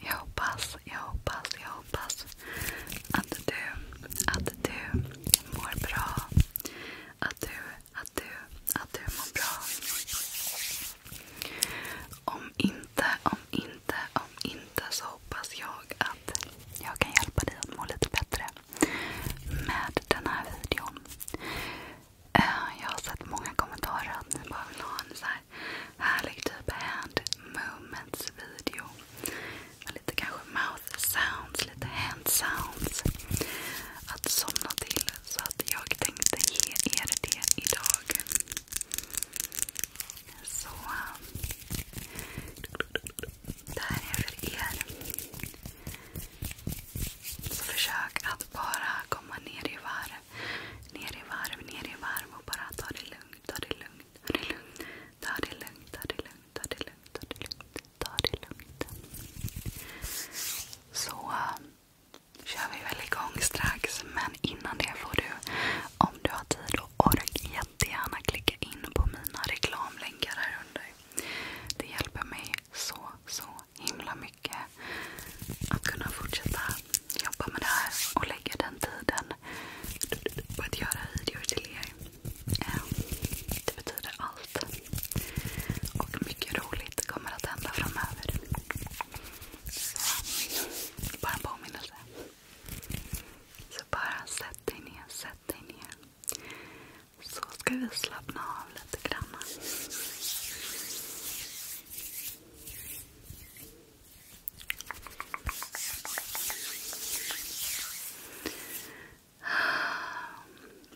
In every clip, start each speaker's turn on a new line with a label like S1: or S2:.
S1: Jag hoppas, jag hoppas, jag hoppas att du, mår bra. Att du, mår bra. Om inte, om inte, om inte så hoppas jag att jag kan hjälpa dig att må lite bättre med den här videon. Eh, jag har sett många kommentarer att ni bara vill ha en så härlig typ hand movements video. lite kanske mouth sounds, lite hand sounds. Att somna till. Så jag tänkte ge er det idag. Så. Det här är för er. Så försök att bara komma ner i varv ner i varv, ner i varv och bara ta det lugnt, ta det lugnt, ta det lugnt. Ta det lugnt, ta det lugnt, ta det lugnt, ta det lugnt. Ta det lugnt. Så um, kör vi väl igång strax. Men innan det får du, om du har tid och ork, jättegärna klicka in på mina reklamlänkar här under. Det hjälper mig så, så himla mycket att kunna fortsätta Jobba med det här och lägga den tiden på att göra videor till er. Ehm, det betyder allt. Och mycket roligt kommer att hända framöver. Så, bara en påminnelse. Så bara sätt dig ner, sätt dig ner. Så ska vi slappna av lite grann.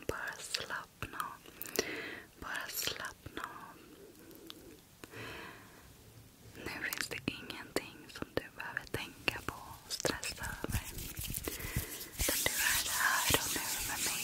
S1: Bara slappna av. Bara slappna av. Nu finns det ingenting som du behöver tänka på och stressa över. Utan du är här och nu med mig.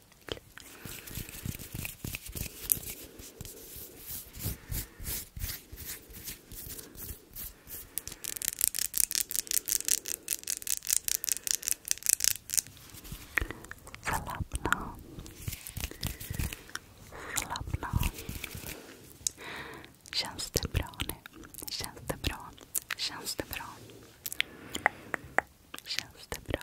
S1: klick, klick. Slappna Slappna Känns det bra nu? Känns det bra? Känns det bra? Känns det bra?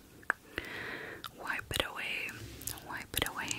S1: Wipe it away, wipe it away.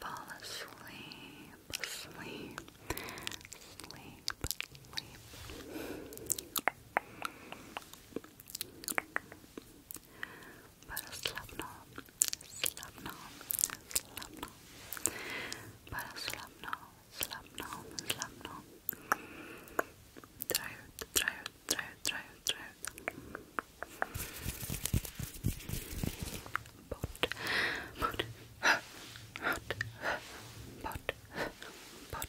S1: fall asleep, sleep, sleep, sleep. But slapno, slapno, slapno. But slapno, slapno, slapno. Tired, tired, tired, tired, tired. bort, bort, bort, bort, bort.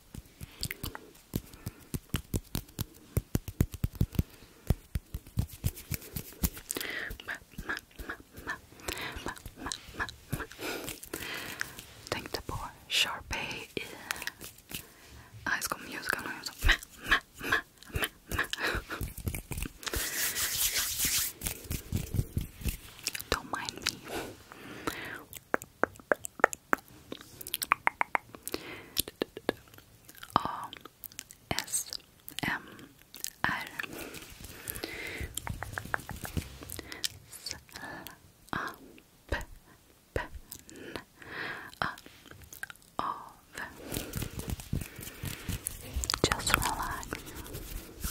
S1: Tänkte på Sharpay i uh, High School Musical. Och mä. Don't mind me. A S M R S A P P N A O V Just relax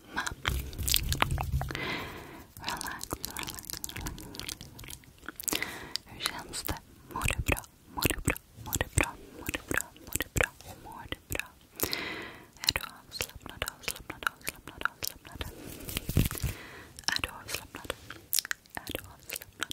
S1: Relax, relax, relax. Hur känns det? Mår du bra? Mår du bra? Mår du bra? Mår du bra? Mår du bra? Mår du bra? Är du avslappnad? Avslappnad? Avslappnad? Avslappnad? Är du avslappnad? Är du avslappnad?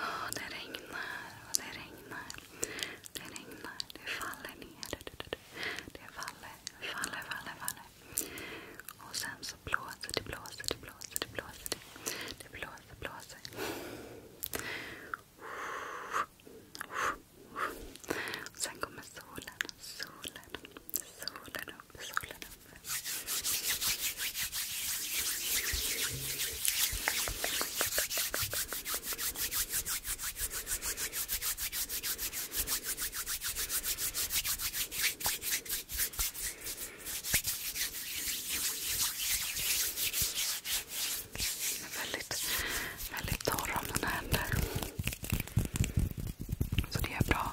S1: Oh, det regnar och det regnar. Det regnar. Det faller ner. Det faller, faller, faller. Och sen så blåser det, blåser det, blåser det. Det blåser, blåser. sen kommer solen. Solen. Solen upp, solen upp. Väldigt, väldigt torr om mina händer. Så det är bra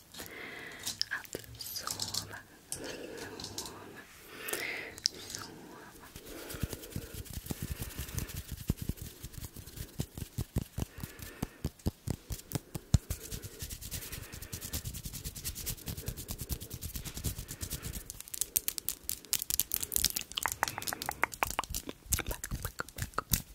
S1: Att sova, sova, sova. Back, back, back, back.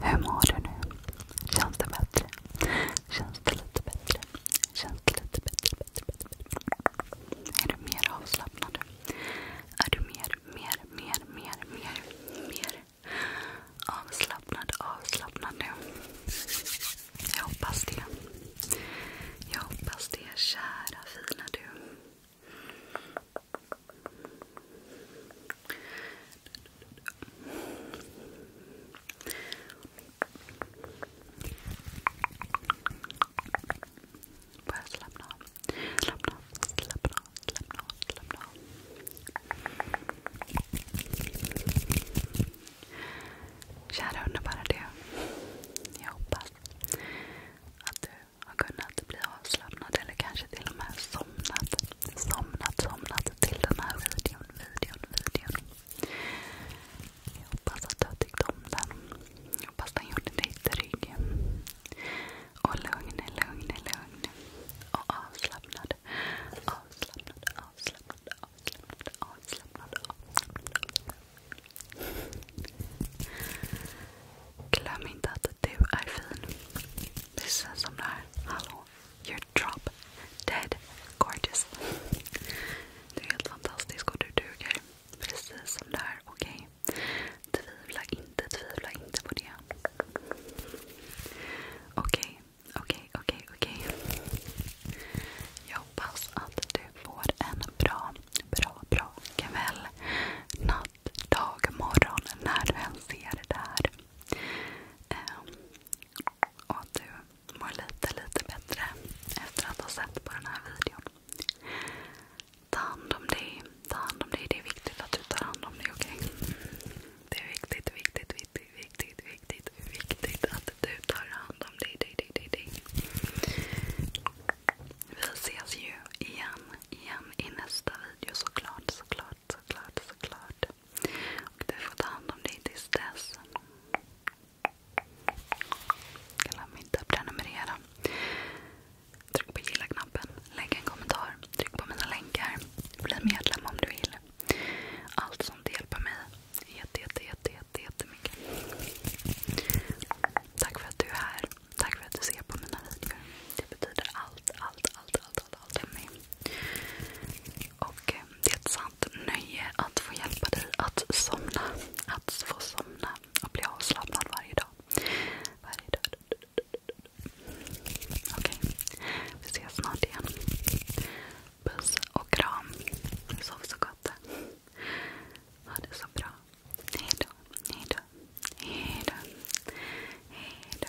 S1: Hur mår du nu? Känns det bättre? Känns det lite bättre? Känns lite bättre, bättre, bättre. Är du mer avslappnad? Är du mer, mer, mer, mer, mer, mer avslappnad, avslappnad nu? Jag hoppas det. Jag hoppas det, kära fina du. Bara slappna Slappna av, slappna av, slappna av, slappna av. Kära underbara du. Jag hoppas att du har kunnat bli avslappnad eller kanske till och med somnat. Somnat, somnat till den här videon, videon, videon. Jag hoppas att du tyckte om den. Jag hoppas den gjorde dig trygg. Och lugn, lugn, lugn. Och avslappnad. Avslappnad, avslappnad, avslappnad, avslappnad. Glöm inte att du är fin. Precis som det här. Hallå. You're drop dead gorgeous. Du är helt fantastisk och du duger precis som du är. Okej? Okay? Tvivla inte, tvivla inte på det. Okej, okay, okej, okay, okej, okay, okej. Okay. Jag hoppas att du får en bra, bra, bra kväll, natt, dag, morgon när du än ser det här. Um, och att du mår lite, lite bättre efter att ha sett på den här videon. Ta hand om dig. Det är viktigt att du tar hand om dig, okej? Det är viktigt, viktigt, viktigt, viktigt, viktigt, att du tar hand om dig, Vi ses ju igen i nästa video såklart, såklart, såklart, såklart snart. Och du får ta hand om dig tills dess. Glöm inte att prenumerera. Tryck på gilla-knappen, lägg en kommentar, tryck på mina länkar. Bli medlem om du vill. Allt sånt hjälper mig jätte, jätte, jätte, jätte, jättemycket. Tack för att du är här. Tack för att du ser på mina videor. Det betyder allt, allt, allt, allt, allt, allt för mig. Och eh, det är ett sant nöje att få hjälpa dig att somna. Att få somna och bli avslappnad varje dag. Varje dag. Okej, vi ses snart igen. Puss och kram. Sov så gott. Ha det så bra. Hejdå, hejdå, hejdå. Hejdå, hejdå.